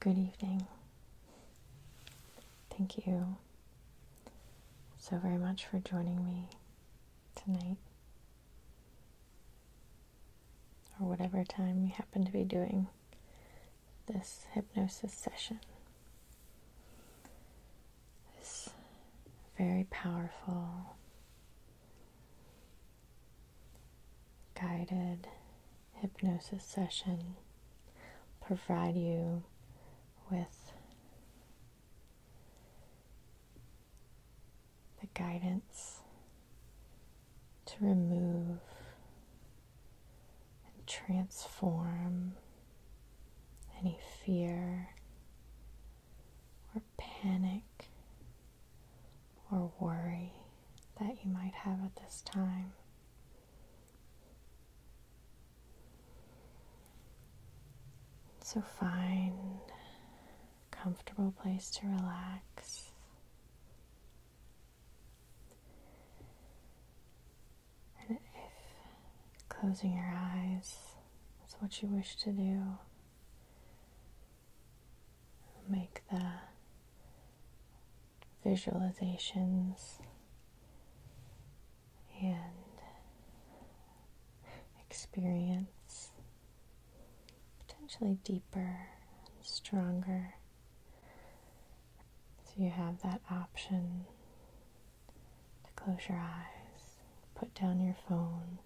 Good evening. Thank you so very much for joining me tonight, or whatever time you happen to be doing this hypnosis session. This very powerful guided hypnosis session provide you with the guidance to remove and transform any fear or panic or worry that you might have at this time. So find a comfortable place to relax. And if closing your eyes is what you wish to do, make the visualizations and experience potentially deeper and stronger. So you have that option to close your eyes, put down your phone,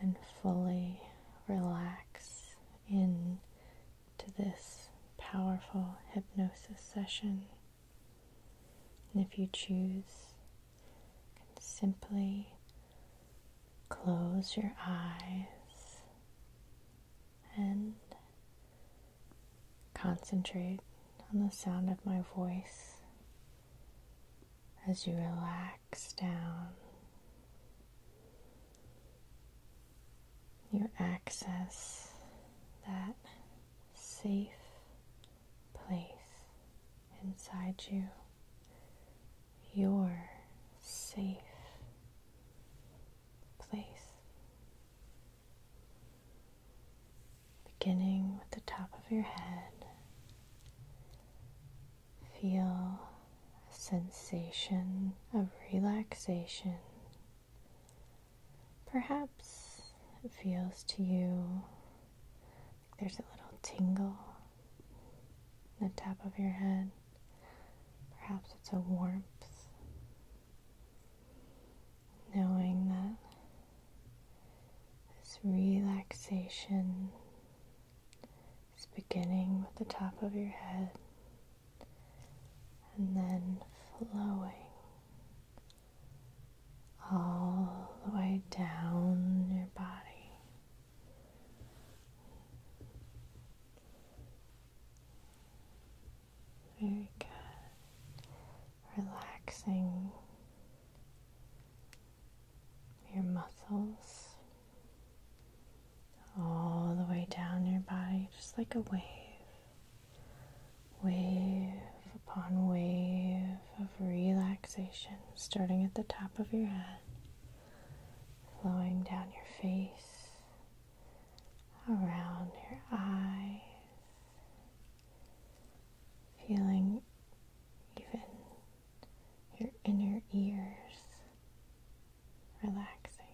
and fully relax in to this powerful hypnosis session. And if you choose, can simply close your eyes and concentrate on the sound of my voice as you relax down. Your access that safe place inside you. Your safe place. Beginning with the top of your head, feel a sensation of relaxation. Perhaps it feels to you there's a little tingle in the top of your head. Perhaps it's a warmth. Knowing that this relaxation is beginning with the top of your head and then flowing all the way down your body. Very good. Relaxing your muscles all the way down your body, just like a wave, wave upon wave of relaxation, starting at the top of your head, flowing down your face, around your eyes, feeling even your inner ears relaxing.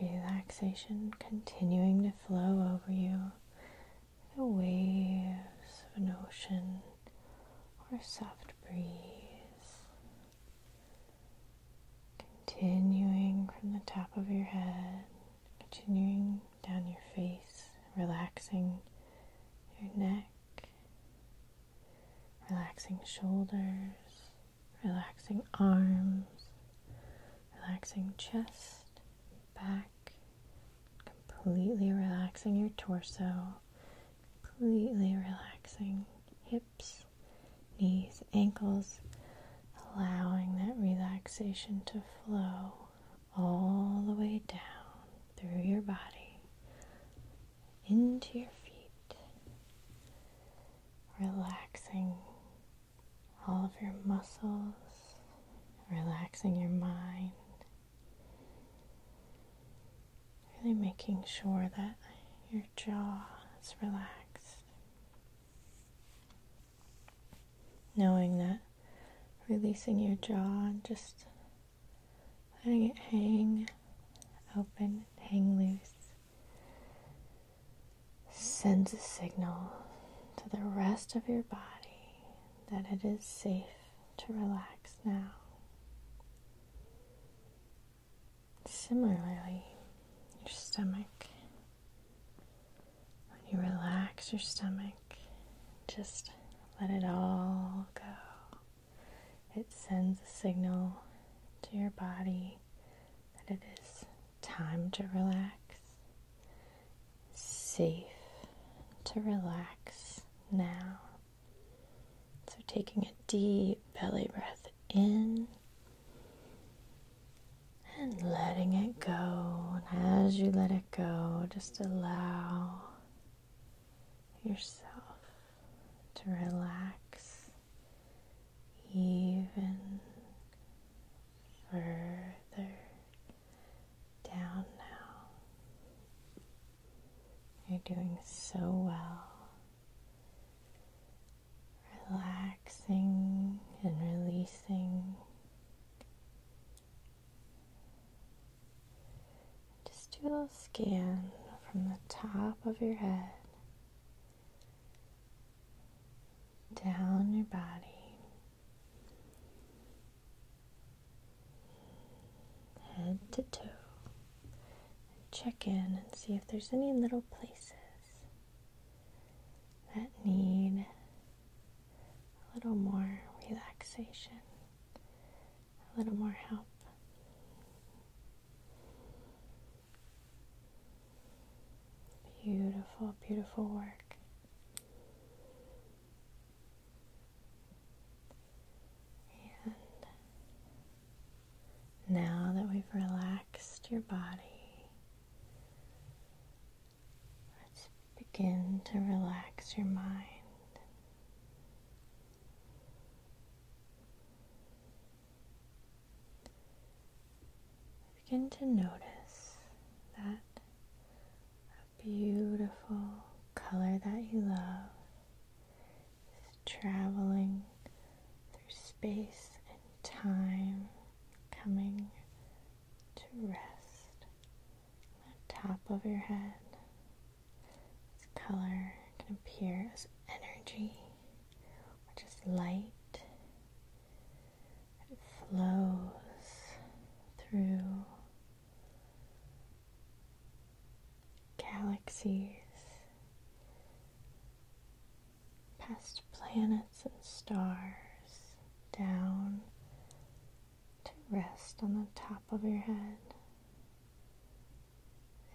Relaxation continuing to flow over you the waves of an ocean or a soft breeze. Continuing from the top of your head, continuing down your face, relaxing your neck, relaxing shoulders, relaxing arms, relaxing chest, back, completely relaxing your torso, completely relaxing hips, knees, ankles, allowing that relaxation to flow all the way down through your body into your feet relaxing all of your muscles, relaxing your mind, really making sure that your jaw is relaxed, knowing that releasing your jaw and just letting it hang open, hang loose sends a signal to the rest of your body that it is safe to relax now. Similarly, your stomach. When you relax your stomach, just let it all go it sends a signal to your body that it is time to relax, safe to relax now. So, taking a deep belly breath in and letting it go. And as you let it go, just allow yourself to relax even further down now. You're doing so well. Relaxing and releasing. Just do a little scan from the top of your head down your body. Head to toe. And check in and see if there's any little places that need a little more relaxation, a little more help. Beautiful, beautiful work. And now that we've relaxed your body, let's begin to relax your mind. Begin to notice that a beautiful color that you love is traveling through space and time, coming to rest on the top of your head. This color can appear as energy just light. flows through galaxies, past planets and stars, down to rest on the top of your head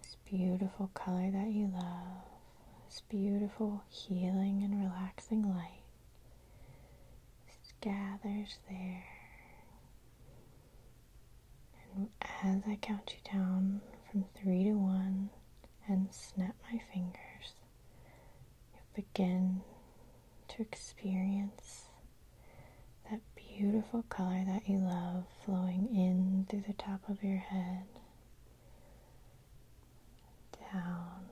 this beautiful color that you love, this beautiful healing and relaxing light gathers there. And as I count you down from three to one and snap my fingers, you begin to experience that beautiful color that you love flowing in through the top of your head down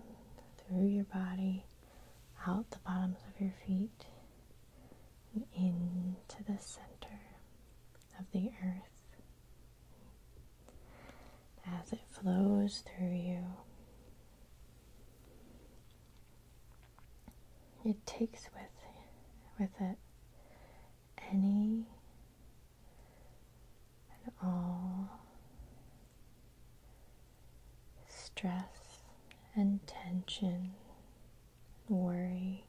through your body, out the bottoms of your feet, into the center of the earth. As it flows through you, it takes with, with it any and all stress and tension, worry,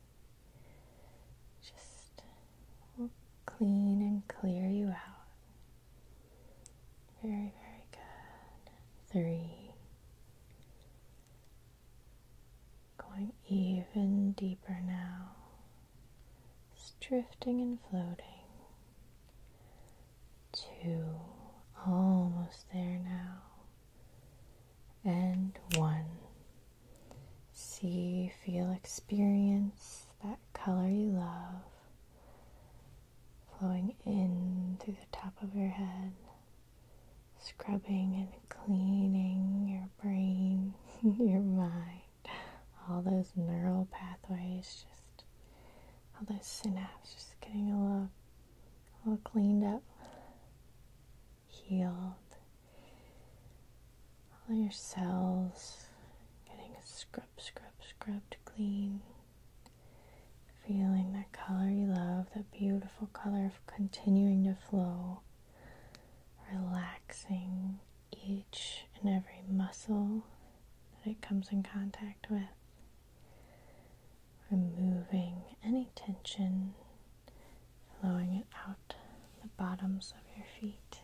just clean and clear you out. Very, very good. Three, Going even deeper now. It's drifting and floating. Two, almost there now. And one. See, feel, experience that color you love flowing in through the top of your head, scrubbing and cleaning your brain, your mind. all those neural pathways, just all those synapses, just getting a little, little cleaned up, healed. All your cells getting scrub, scrub, scrubbed clean. Feeling that color you love, that beautiful color continuing to flow, relaxing each and every muscle that it comes in contact with, removing any tension, flowing it out the bottoms of your feet,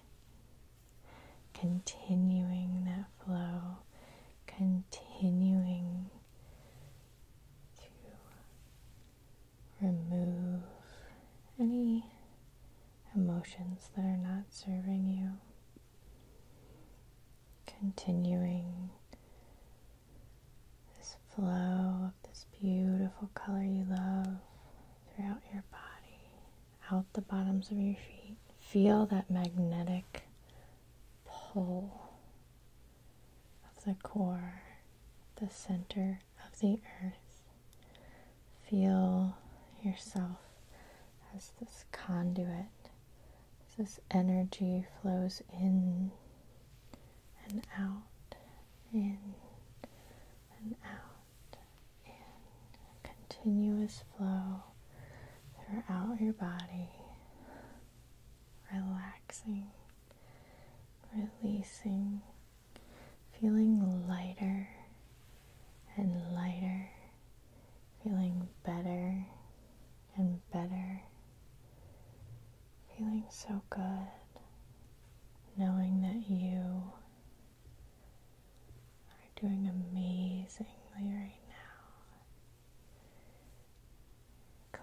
continuing that flow, continuing to remove any emotions that are not serving you. Continuing this flow of this beautiful color you love throughout your body, out the bottoms of your feet. Feel that magnetic pull of the core, the center of the earth. Feel yourself as this conduit, as this energy flows in and out, in and out, in continuous flow throughout your body, relaxing, releasing feeling lighter and lighter, feeling better and better, feeling so good, knowing that you are doing amazingly right now.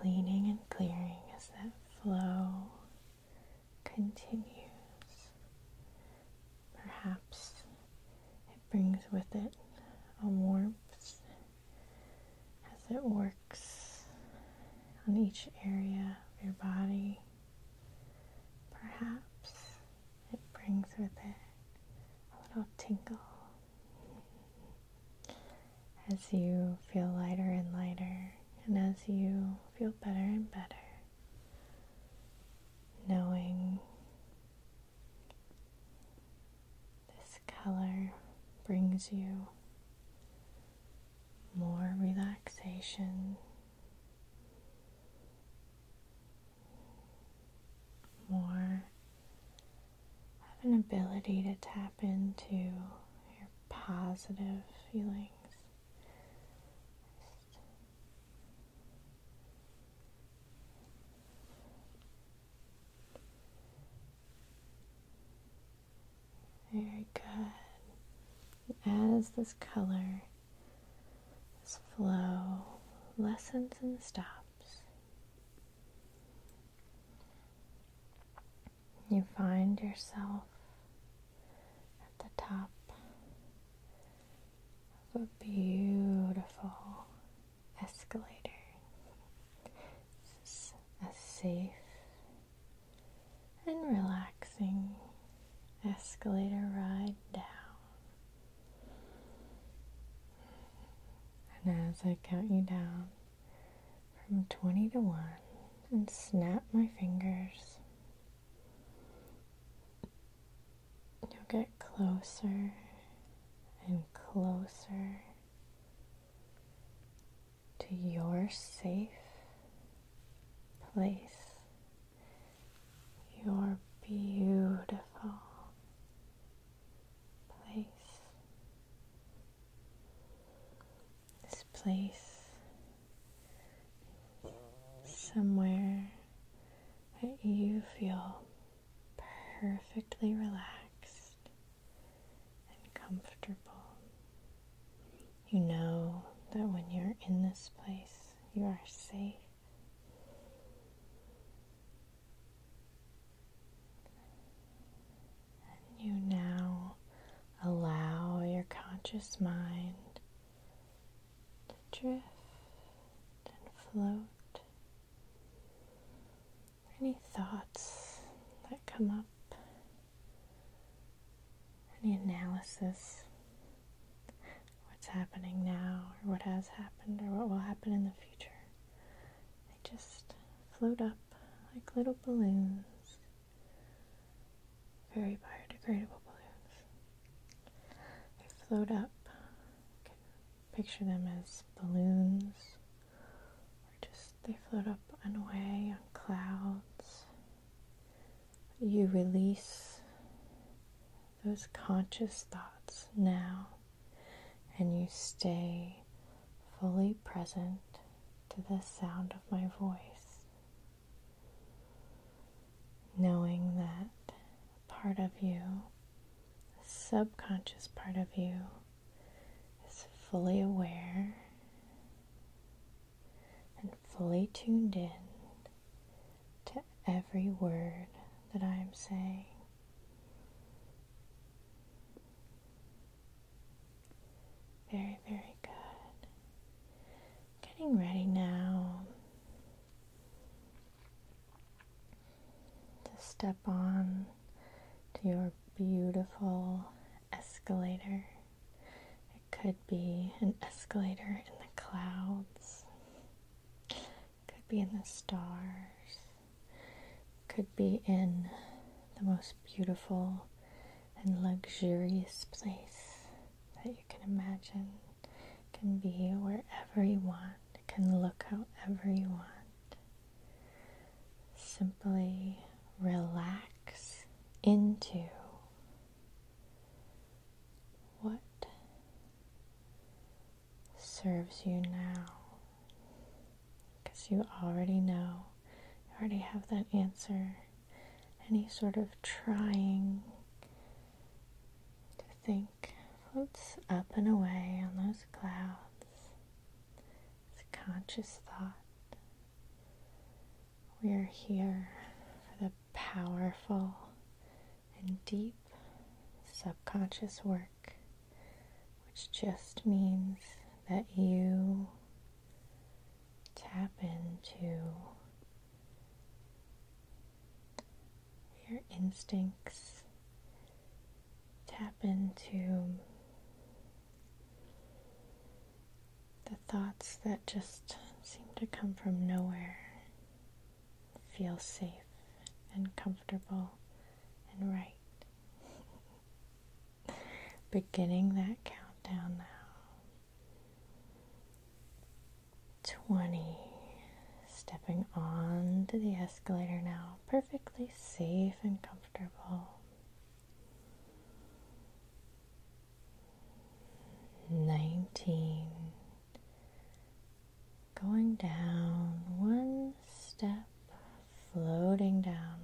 Cleaning and clearing as that flow continues. Perhaps it brings with it a warmth as it works on each area of your body. Perhaps it brings with it a little tingle as you feel lighter and lighter, and as you feel better and better knowing this color brings you more relaxation, more an ability to tap into your positive feelings. Very good. As this color, this flow lessens and stops, you find yourself at the top of a beautiful escalator. This a safe and relaxing escalator ride down. And as I count you down from 20 to 1 and snap my fingers, You'll get closer and closer to your safe place, your beautiful place. This place somewhere that you feel perfectly relaxed and comfortable. You know that when you're in this place, you are safe. And you now allow your conscious mind to drift and float. Any thoughts that come up, any analysis, what's happening now, or what has happened, or what will happen in the future, they just float up like little balloons very biodegradable balloons. They float up. You can picture them as balloons, or just they float up and away on clouds. You release those conscious thoughts now, and you stay fully present to the sound of my voice knowing that part of you, the subconscious part of you, is fully aware and fully tuned in to every word that I am saying. Very, very good. Getting ready now to step on to your beautiful escalator. It could be an escalator in the clouds, it could be in the stars, it could be in the most beautiful and luxurious place that you can imagine can be wherever you want, it can look however you want. Simply relax into what serves you now. Because you already know, you already have that answer any sort of trying to think floats up and away on those clouds. It's a conscious thought. We are here for the powerful and deep subconscious work, which just means that you tap into your instincts. Tap into the thoughts that just seem to come from nowhere. Feel safe and comfortable and right. Beginning that countdown now. 20. Stepping onto the escalator now, perfectly safe and comfortable. 19. Going down one step, floating down.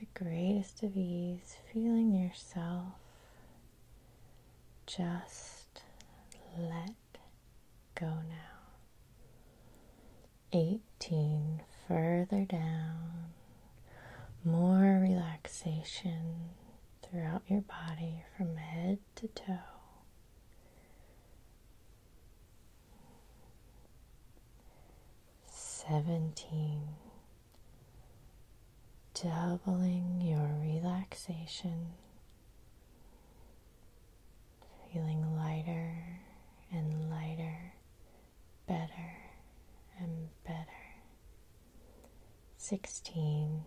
The greatest of ease, feeling yourself just let go now. 18 further down. More relaxation throughout your body from head to toe. Seventeen doubling your relaxation, feeling lighter and lighter, better and better. 16.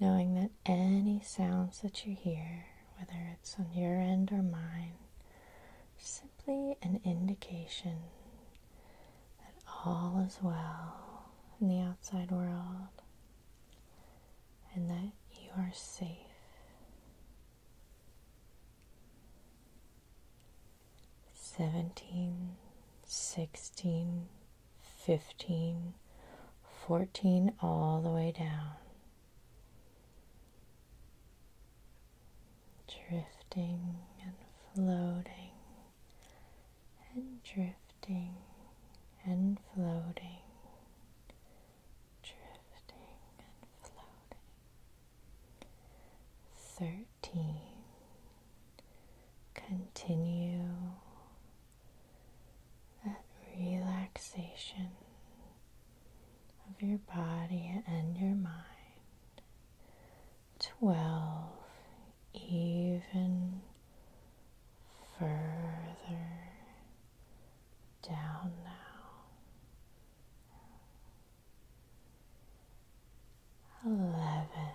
Knowing that any sounds that you hear, whether it's on your end or mine, simply an indication that all is well in the outside world and that you are safe. Seventeen, sixteen, fifteen, fourteen, all the way down. Drifting and floating and drifting and floating, drifting and floating. Thirteen. Continue that relaxation of your body and your mind twelve, even further down now. Eleven.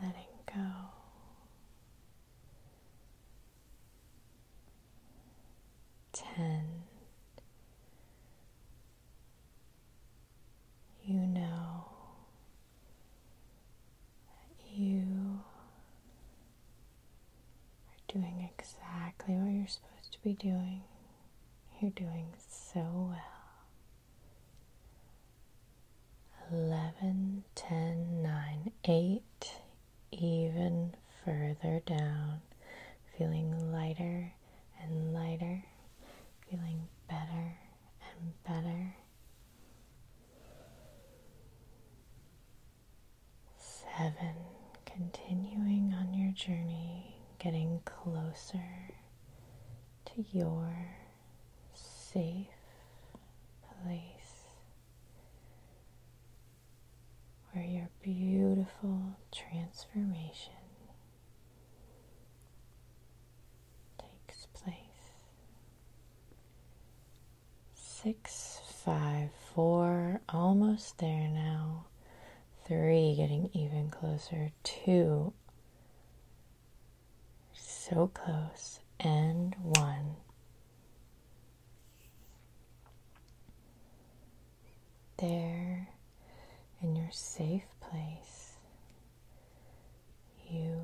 Letting go. Ten you know that you are doing exactly what you're supposed to be doing. You're doing so well. 11, 10, 9, 8, even further down, feeling lighter and lighter, feeling better and better. Seven, continuing on your journey, getting closer to your safe place where your beautiful transformation takes place. Six, five, four, almost there now. Three, getting even closer. Two, so close. And one there in your safe place, you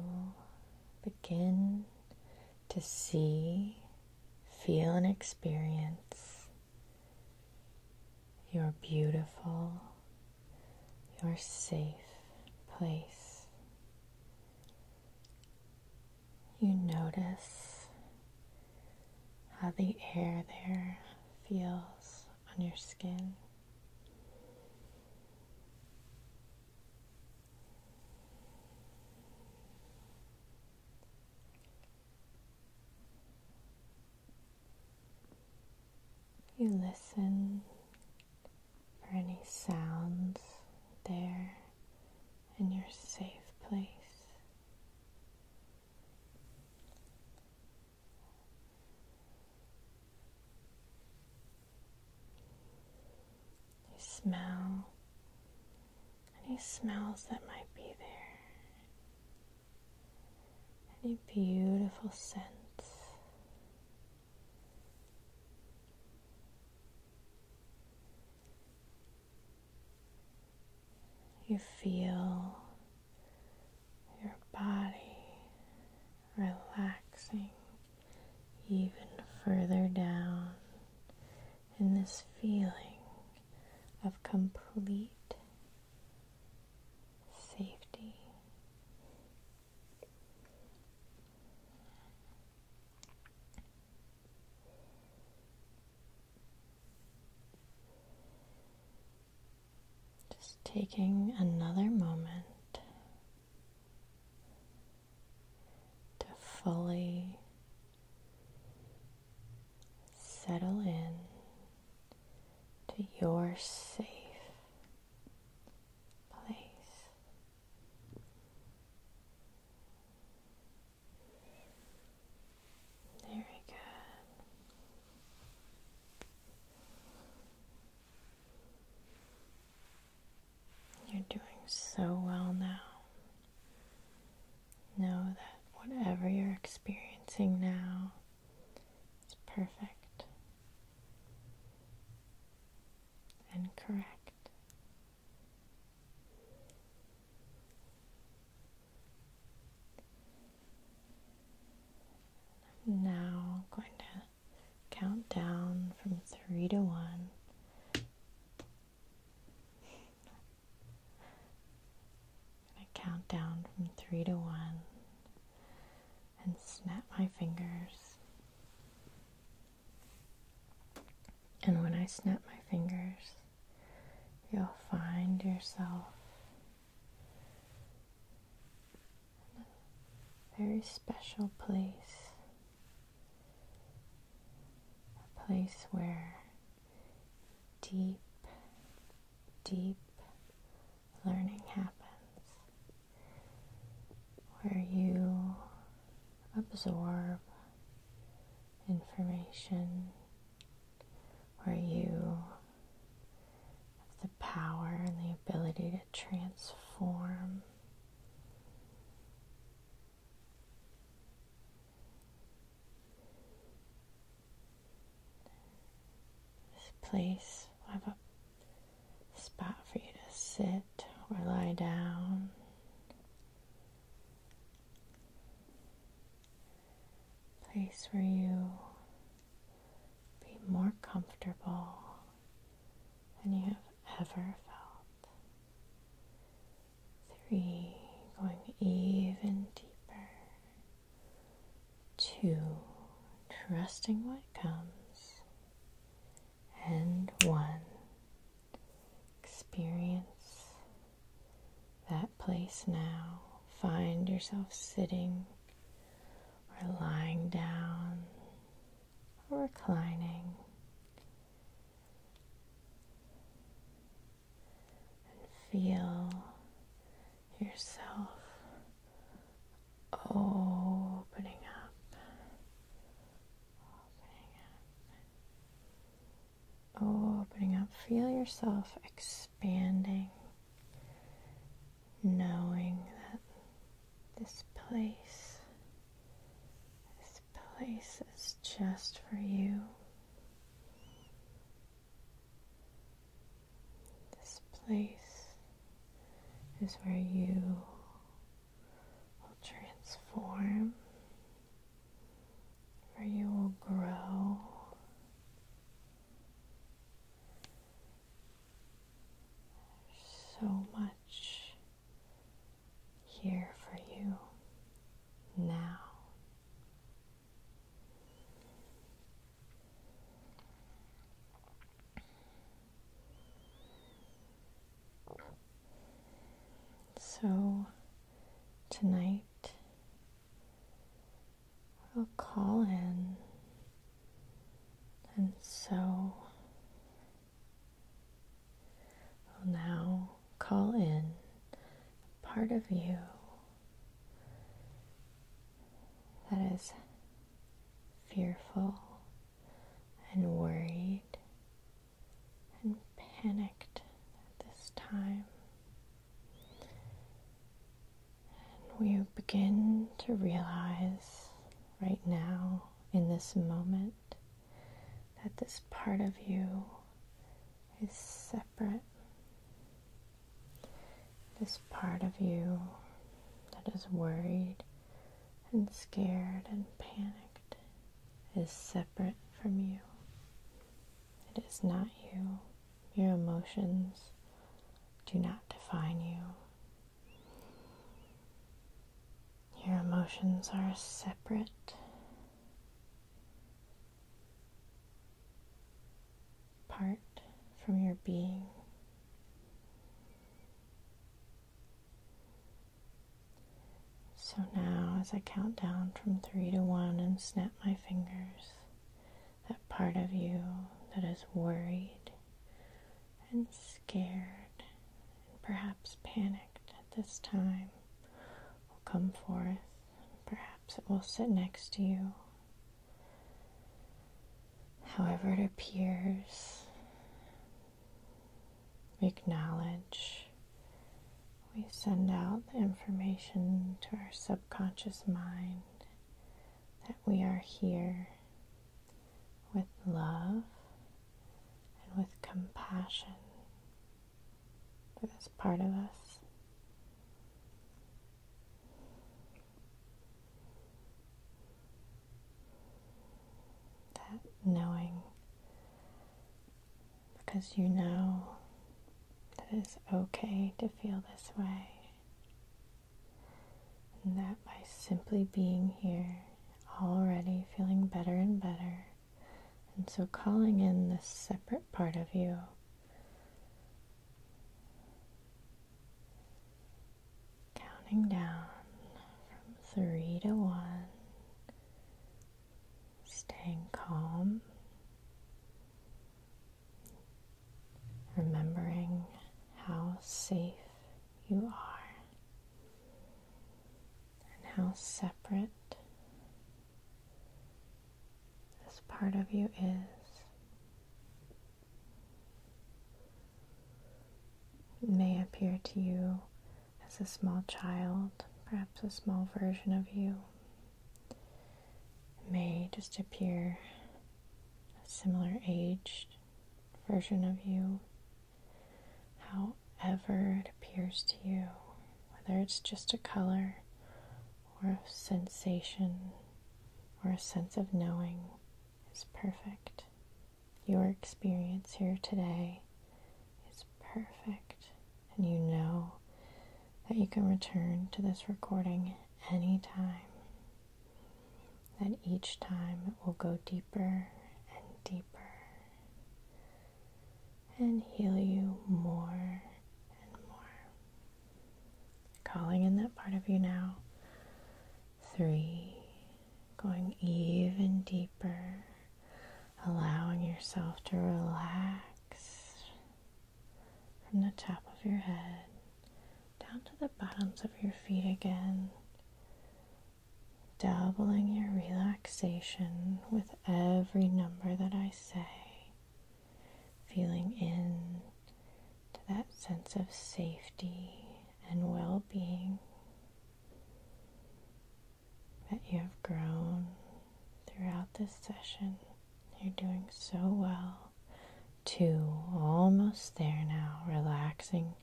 begin to see, feel, and experience your beautiful, your safe place. You notice how the air there feels on your skin. You listen for any sounds there in your safe place. You smell any smells that might be there, any beautiful scents. You feel your body relaxing even further down in this feeling of complete safety. Just taking another moment to fully settle in to your safe place. Very good. You're doing so well now. Know that whatever you're experiencing now is perfect and correct. I'm now going to count down from three to one. i count down from three to one and snap my fingers. And when I snap my fingers, you'll find yourself very special place, a place where deep, deep learning happens, where you absorb information where you have the power and the ability to transform. This place will have a spot for you to sit or lie down place where you be more comfortable than you have ever felt. Three, going even deeper. Two, trusting what comes. And one, experience that place now. Find yourself sitting or lying down or reclining. And feel yourself opening up, opening opening up. Feel yourself expanding expanding, knowing that this place, this place is just for you. This place is where you will transform, where you will grow so much here for you now. So, tonight I'll call in and so now call in part of you that is fearful and worried and panicked at this time. And we begin to realize right now, in this moment, that this part of you is separate. This part of you that is worried and scared and panicked is separate from you. It is not you. Your emotions do not define you. Your emotions are separate part from your being. So now, as I count down from three to one and snap my fingers, that part of you that is worried and scared and perhaps panicked at this time will come forth. Perhaps it will sit next to you. However, it appears, we acknowledge, we send out the information to our subconscious mind that we are here with love and with compassion for this part of us. That knowing, because you know that it's okay to feel this way. And that by simply being here, already feeling better and better. And so calling in this separate part of you. Counting down from three to one. Staying calm remembering how safe you are and how separate this part of you is. may appear to you as a small child, perhaps a small version of you. may just appear a similar aged version of you, however it appears to you, whether it's just a color or a sensation or a sense of knowing, is perfect. Your experience here today is perfect, and you know that you can return to this recording anytime that each time it will go deeper and deeper and heal you more and more. Calling in that part of you now. Three, going even deeper, allowing yourself to relax from the top of your head down to the bottoms of your feet again, doubling your relaxation with every number that I say, feeling in to that sense of safety and well being that you have grown throughout this session. You're doing so well two, almost there now, relaxing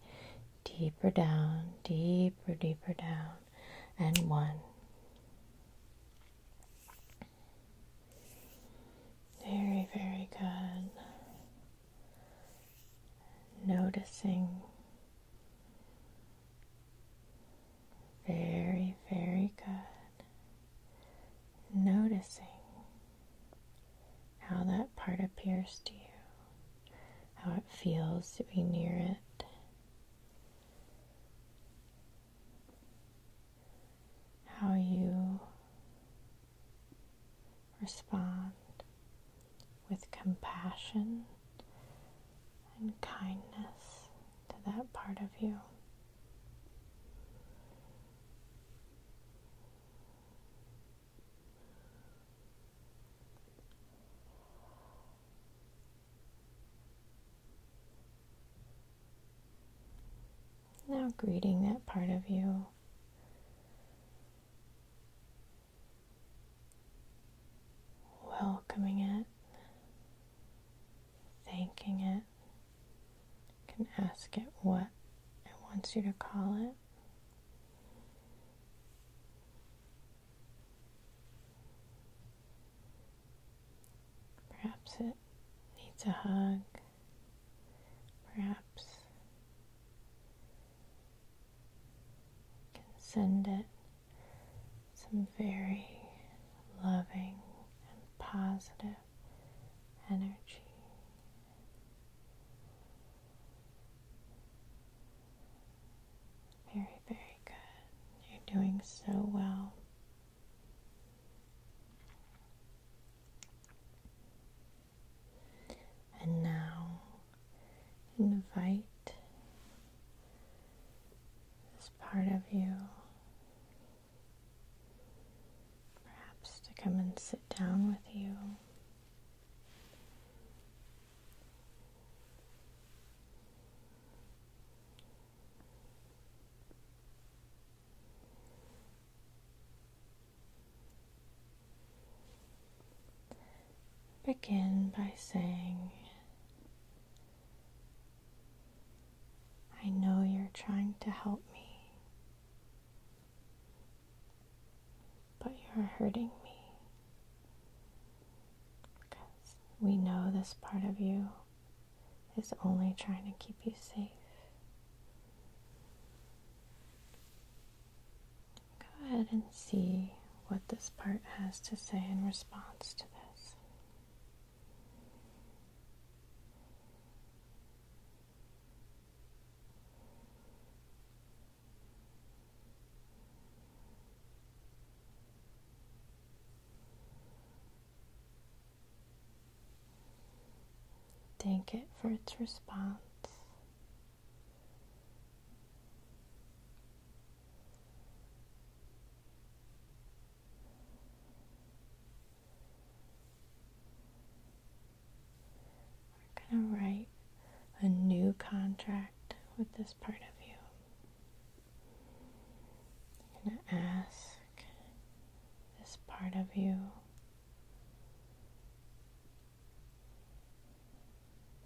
deeper down, deeper, deeper down, and one. Very, very good. Noticing. Very, very good noticing how that part appears to you, how it feels to be near it. How you respond with compassion and kindness to that part of you. Now, greeting that part of you. Welcoming it, thanking it can ask it what it wants you to call it. Perhaps it needs a hug. Perhaps can send it some very loving and positive energy. Very, very good. You're doing so well. And now invite this part of you perhaps to come and sit down with you. Begin by saying, I know you're trying to help me. But you're hurting me. Because we know this part of you is only trying to keep you safe. Go ahead and see what this part has to say in response to this. Thank it for its response. We're going to write a new contract with this part of you. I'm going to ask this part of you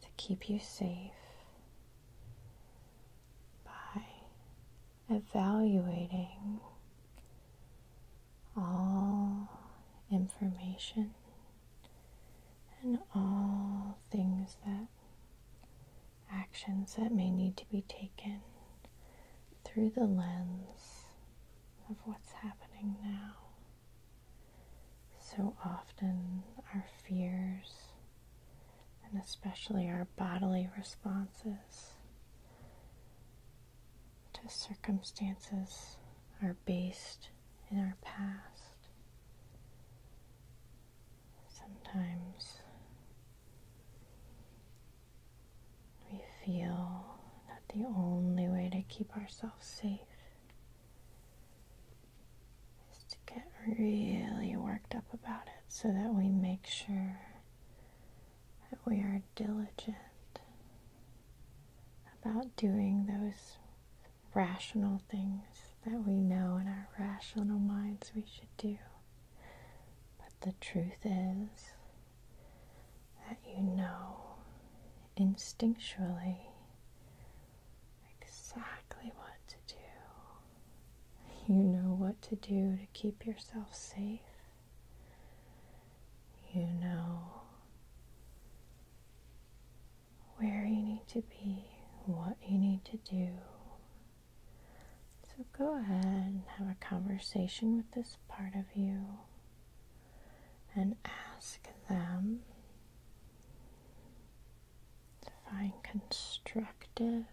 to keep you safe by evaluating all information and all things that actions that may need to be taken through the lens of what's happening now. So often, our fears and especially our bodily responses to circumstances are based in our past. Sometimes we feel that the only way to keep ourselves safe is to get really worked up about it so that we make sure that we are diligent about doing those rational things that we know in our rational minds we should do. But the truth is that you know instinctually exactly what to do. You know what to do to keep yourself safe you know where you need to be, what you need to do. So go ahead and have a conversation with this part of you and ask them to find constructive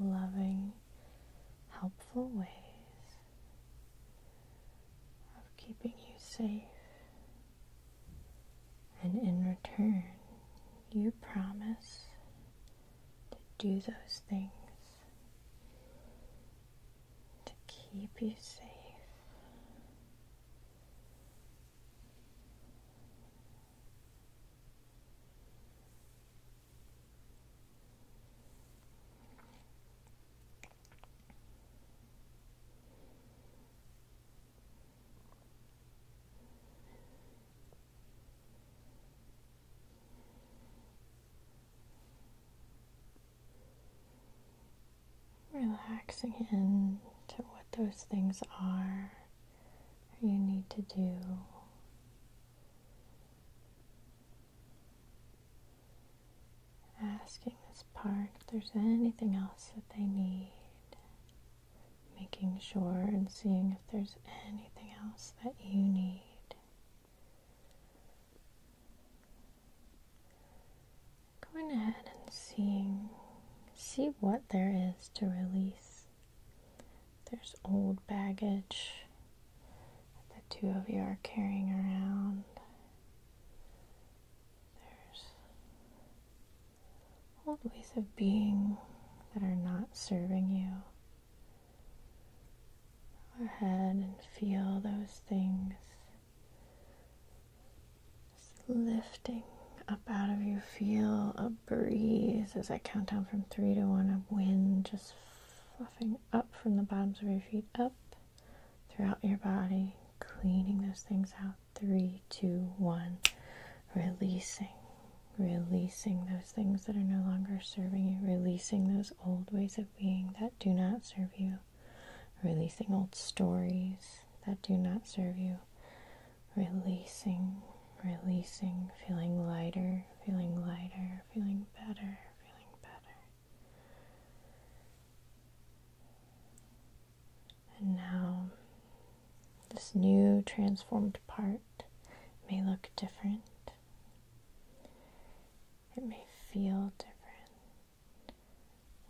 loving, helpful ways of keeping you safe. And in return, you promise to do those things to keep you safe. Relaxing into what those things are you need to do. Asking this part if there's anything else that they need. Making sure and seeing if there's anything else that you need. Going ahead and seeing, see what there is to release. There's old baggage, the two of you are carrying around. There's old ways of being that are not serving you. Go ahead and feel those things lifting up out of you. Feel a breeze as I count down from three to one, a wind just fluffing up from the bottoms of your feet up throughout your body, cleaning those things out. Three, two, one. Releasing, releasing those things that are no longer serving you, releasing those old ways of being that do not serve you, releasing old stories that do not serve you, releasing, releasing, feeling lighter, feeling lighter, feeling better. And now, this new transformed part may look different. It may feel different.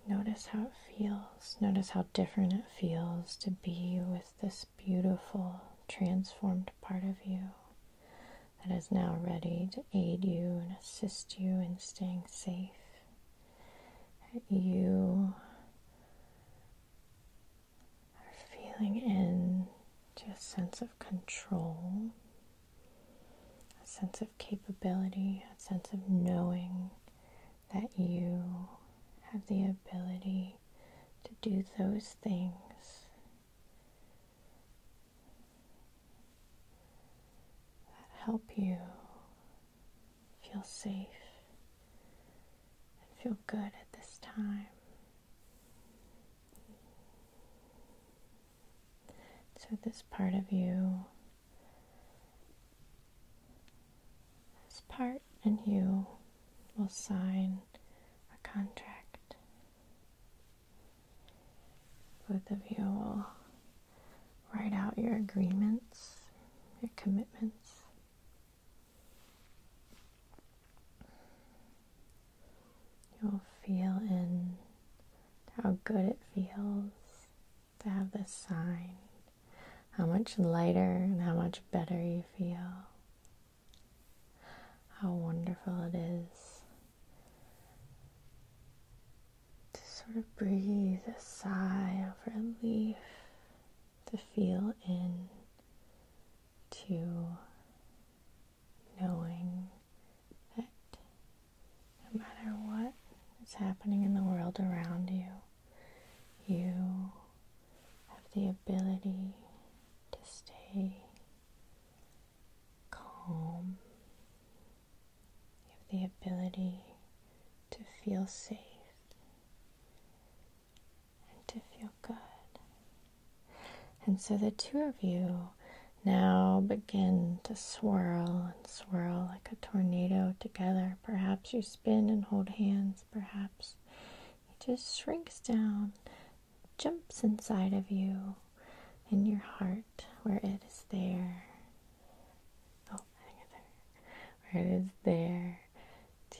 Notice how it feels. Notice how different it feels to be with this beautiful, transformed part of you that is now ready to aid you and assist you in staying safe. you are feeling in to a sense of control, a sense of capability, a sense of knowing that you have the ability to do those things that help you feel safe and feel good at this time. So, this part of you, this part and you will sign a contract both of you will write out your agreements, your commitments. You'll feel in how good it feels to have this sign, how much lighter and how much better you feel how wonderful it is to sort of breathe a sigh of relief, to feel in to knowing that no matter what is happening in the world around you, you have the ability to stay calm. You have the ability to feel safe and to feel good. And so the two of you now begin to swirl and swirl like a tornado together. Perhaps you spin and hold hands, perhaps it just shrinks down jumps inside of you in your heart where it is there. Oh, I there. Where it is there to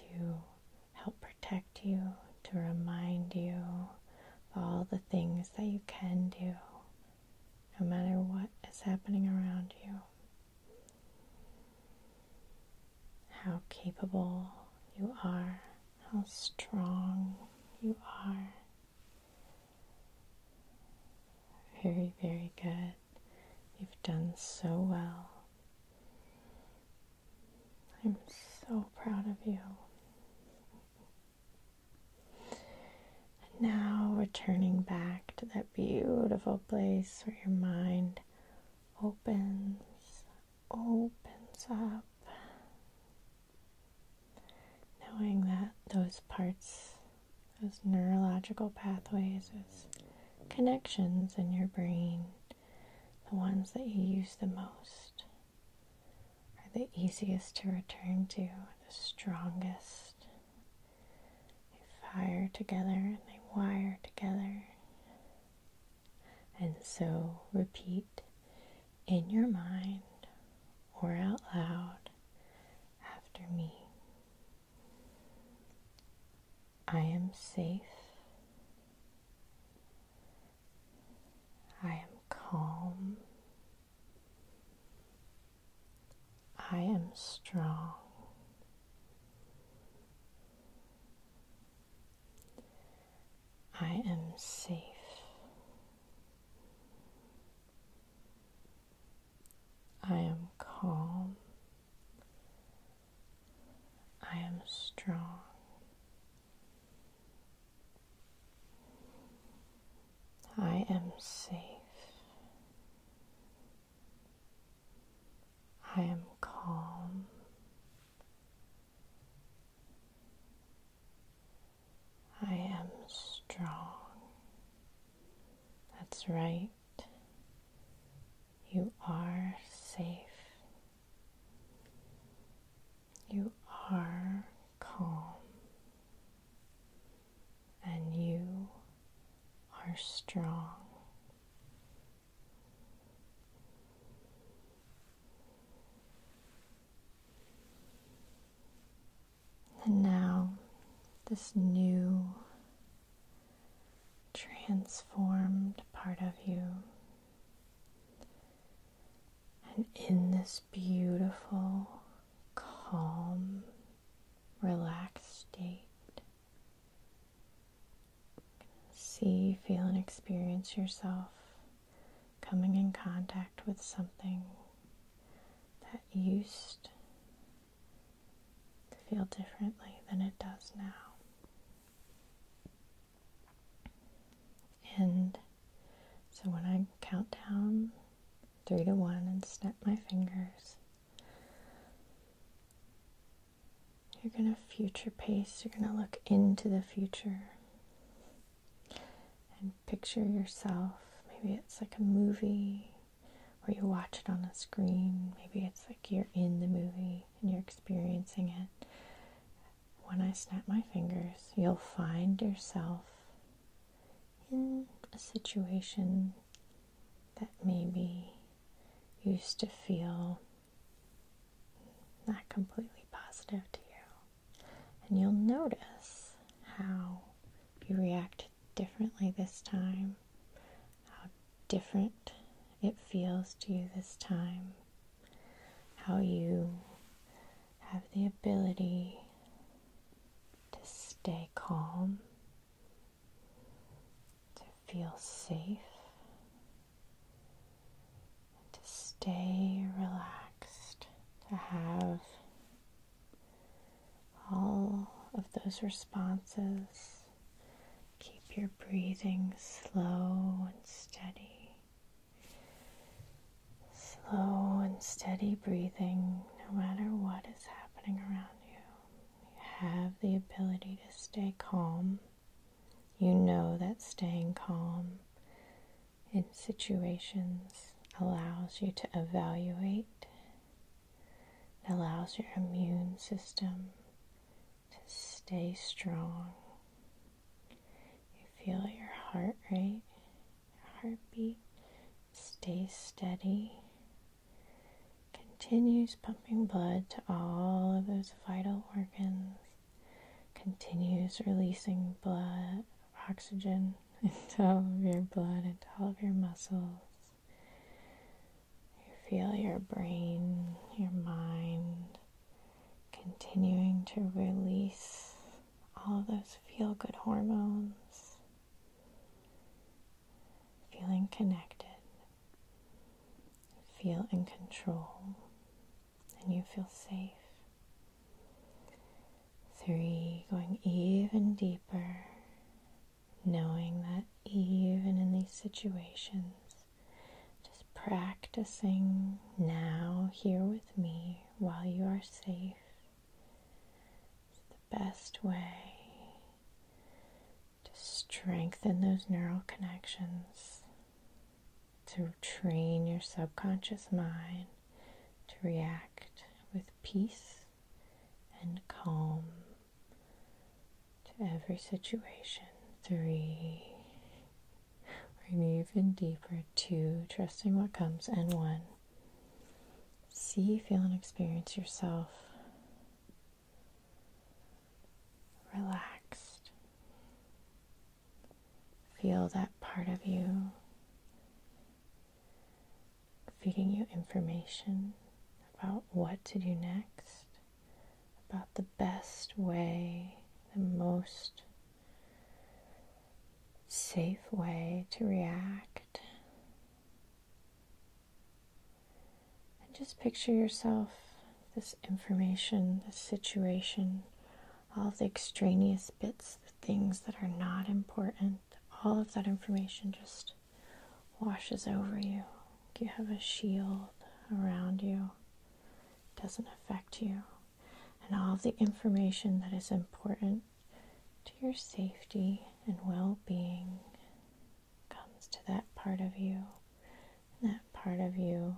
help protect you, to remind you of all the things that you can do, no matter what is happening around you. How capable you are, how strong you are. Very, very good. You've done so well. I'm so proud of you. And now turning back to that beautiful place where your mind opens, opens up Knowing that those parts, those neurological pathways, those connections in your brain, the ones that you use the most, are the easiest to return to, the strongest. They fire together and they wire together. And so repeat in your mind or out loud after me. I am safe. I am calm. I am strong. I am safe. I am calm. I am strong. I am safe. I am calm. I am strong. That's right. You are safe. You are calm. And you are strong. And now, this new, transformed part of you. And in this beautiful, calm, relaxed state, see, feel, and experience yourself coming in contact with something that used to feel differently than it does now. And so when I count down three to one and snap my fingers, you're going to future pace, you're going to look into the future and picture yourself. Maybe it's like a movie where you watch it on a screen. Maybe it's like you're in the movie and you're experiencing it. When I snap my fingers, you'll find yourself in a situation that maybe used to feel not completely positive to you. And you'll notice how you react differently this time, how different it feels to you this time, how you have the ability to stay calm, to feel safe, and to stay relaxed, to have all of those responses. Keep your breathing slow and steady. Slow and steady breathing, no matter what is happening around you. You have the ability to stay calm. You know that staying calm in situations allows you to evaluate, it allows your immune system to stay strong. You feel your heart rate, your heartbeat stays steady, continues pumping blood to all of those vital organs, continues releasing blood, oxygen into all of your blood, into all of your muscles. You feel your brain, your mind continuing to release all of those feel good hormones, feeling connected, feel in control and you feel safe. Three, going even deeper, knowing that even in these situations, just practicing now here with me while you are safe is the best way to strengthen those neural connections, to train your subconscious mind to react with peace and calm to every situation. Three, we're going even deeper. Two, trusting what comes. And one, see, feel, and experience yourself relaxed Feel that part of you feeding you information about what to do next, about the best way, the most safe way to react. And just picture yourself, this information, this situation, all the extraneous bits the things that are not important, all of that information just washes over you. You have a shield around you, it doesn't affect you. And all of the information that is important to your safety and well being comes to that part of you. that part of you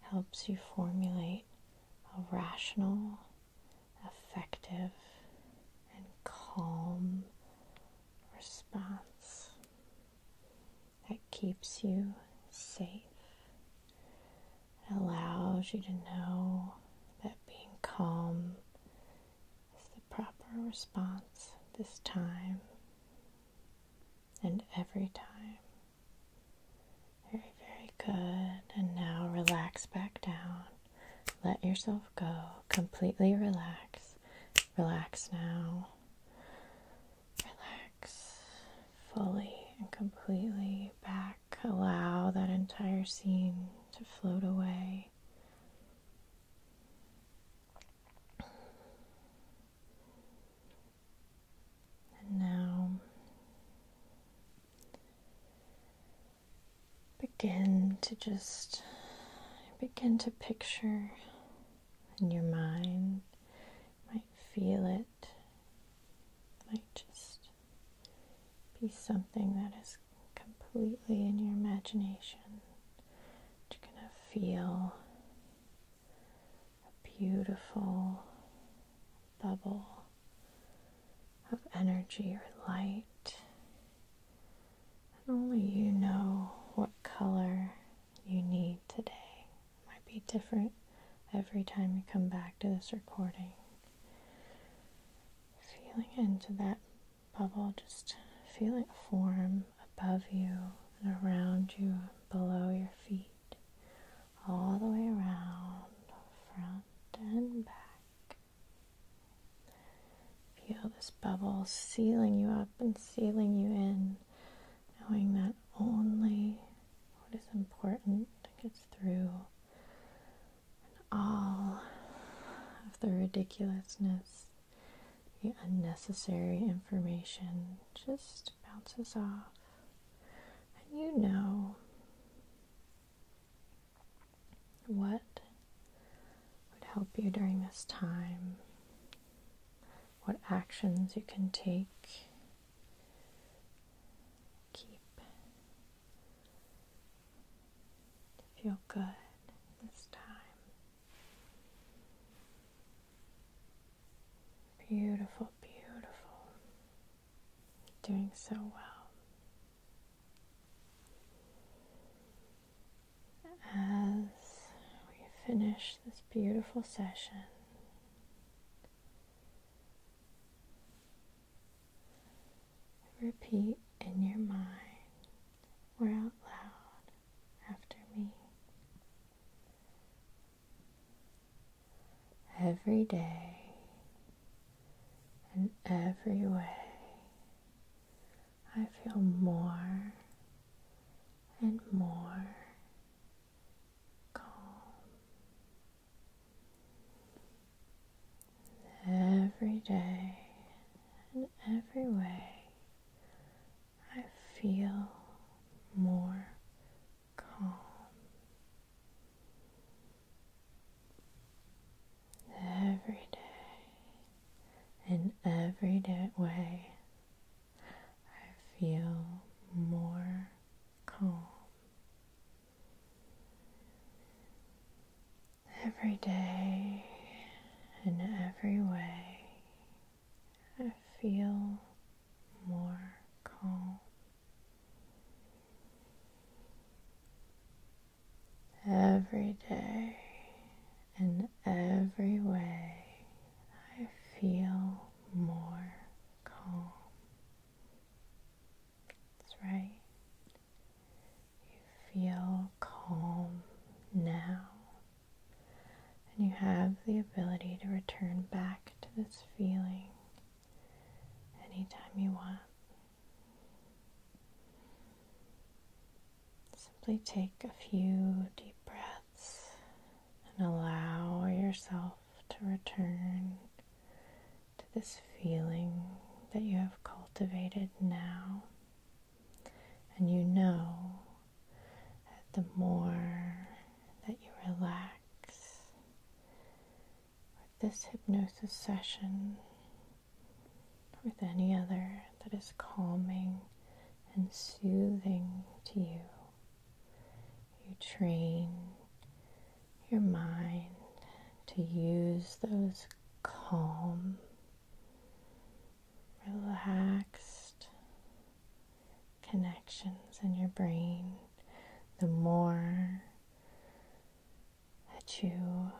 helps you formulate a rational effective and calm response that keeps you safe. It allows you to know that being calm is the proper response this time and every time. Very, very good. And now relax back down. Let yourself go. Completely relax. Relax now. Relax fully and completely back. Allow that entire scene to float away. And now Begin to just begin to picture in your mind. might feel it. Might just be something that is completely in your imagination. You're gonna feel beautiful bubble of energy or light. And only you know what color you need today. might be different every time you come back to this recording. Feeling into that bubble, just feel it form above you and around you, below your feet, all the way around from out and back. Feel this bubble sealing you up and sealing you in, knowing that only what is important gets through, and all of the ridiculousness, the unnecessary information just bounces off, and you know what would help you during this time? What actions you can take? Keep. Feel good this time. Beautiful, beautiful doing so well. As we finish this beautiful session, repeat in your mind or out loud after me every day in every way. I feel more and more calm. Every day in every way, I feel more calm. Every day, in every day way, I feel more calm. Every day, in every way, I feel more calm. Every day, in every way, I feel more calm. That's right. You feel calm now, and you have the ability to return back to this feeling anytime you want. Simply take a few deep breaths and allow yourself to return to this feeling that you have cultivated now. And you know that the more that you relax with this hypnosis session, with any other that is calming and soothing to you. You train your mind to use those calm, relaxed connections in your brain. The more that you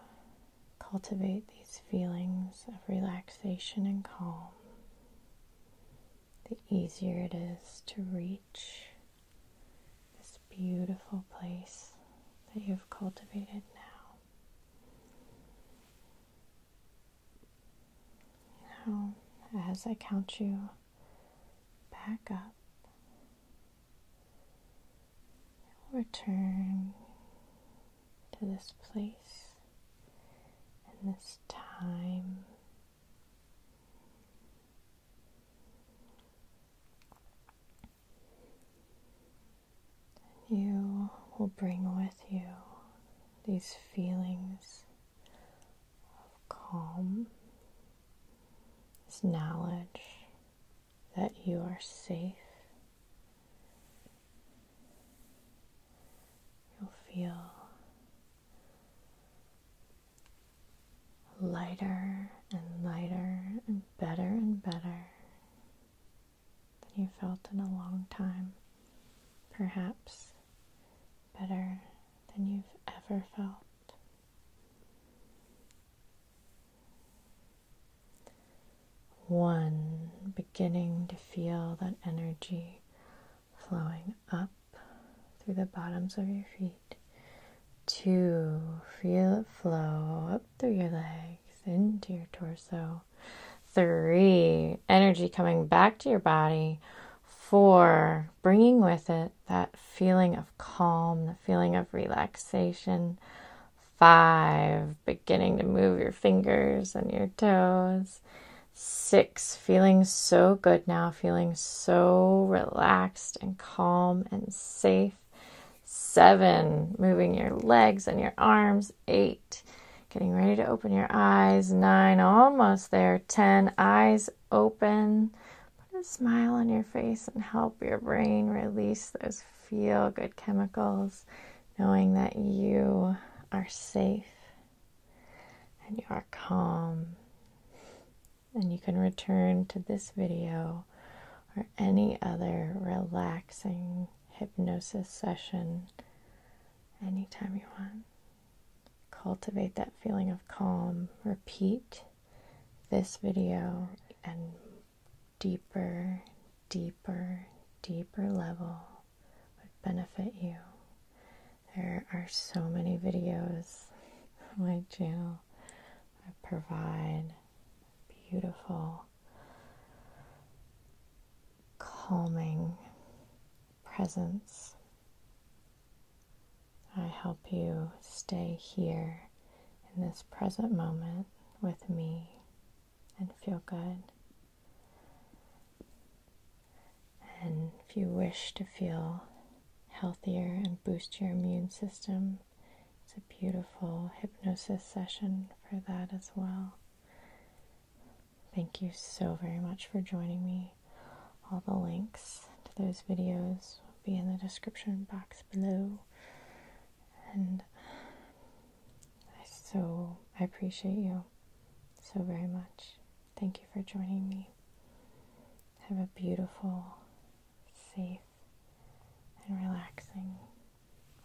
cultivate these feelings of relaxation and calm, the easier it is to reach this beautiful place that you've cultivated now. Now, as I count you back up, We'll return to this place and this time. And you will bring with you these feelings of calm, this knowledge that you are safe. You'll feel lighter and lighter and better and better than you felt in a long time. Perhaps better than you've ever felt. One, beginning to feel that energy flowing up through the bottoms of your feet. Two, feel it flow up through your legs into your torso. Three, energy coming back to your body. Four, bringing with it that feeling of calm, the feeling of relaxation. Five, beginning to move your fingers and your toes. Six, feeling so good now, feeling so relaxed and calm and safe. Seven, moving your legs and your arms. Eight, getting ready to open your eyes. Nine, almost there. Ten, eyes open Put a smile on your face and help your brain release those feel good chemicals, knowing that you are safe and you are calm. And you can return to this video or any other relaxing hypnosis session anytime you want. Cultivate that feeling of calm. Repeat this video and deeper, deeper, deeper level would benefit you. There are so many videos on my channel I provide beautiful, calming presence I help you stay here in this present moment with me and feel good. And if you wish to feel healthier and boost your immune system, it's a beautiful hypnosis session for that as well. Thank you so very much for joining me. All the links to those videos will be in the description box below. And I so I appreciate you so very much. Thank you for joining me. Have a beautiful, safe, and relaxing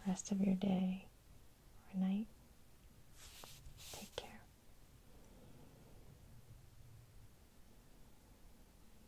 rest of your day or night. Take care.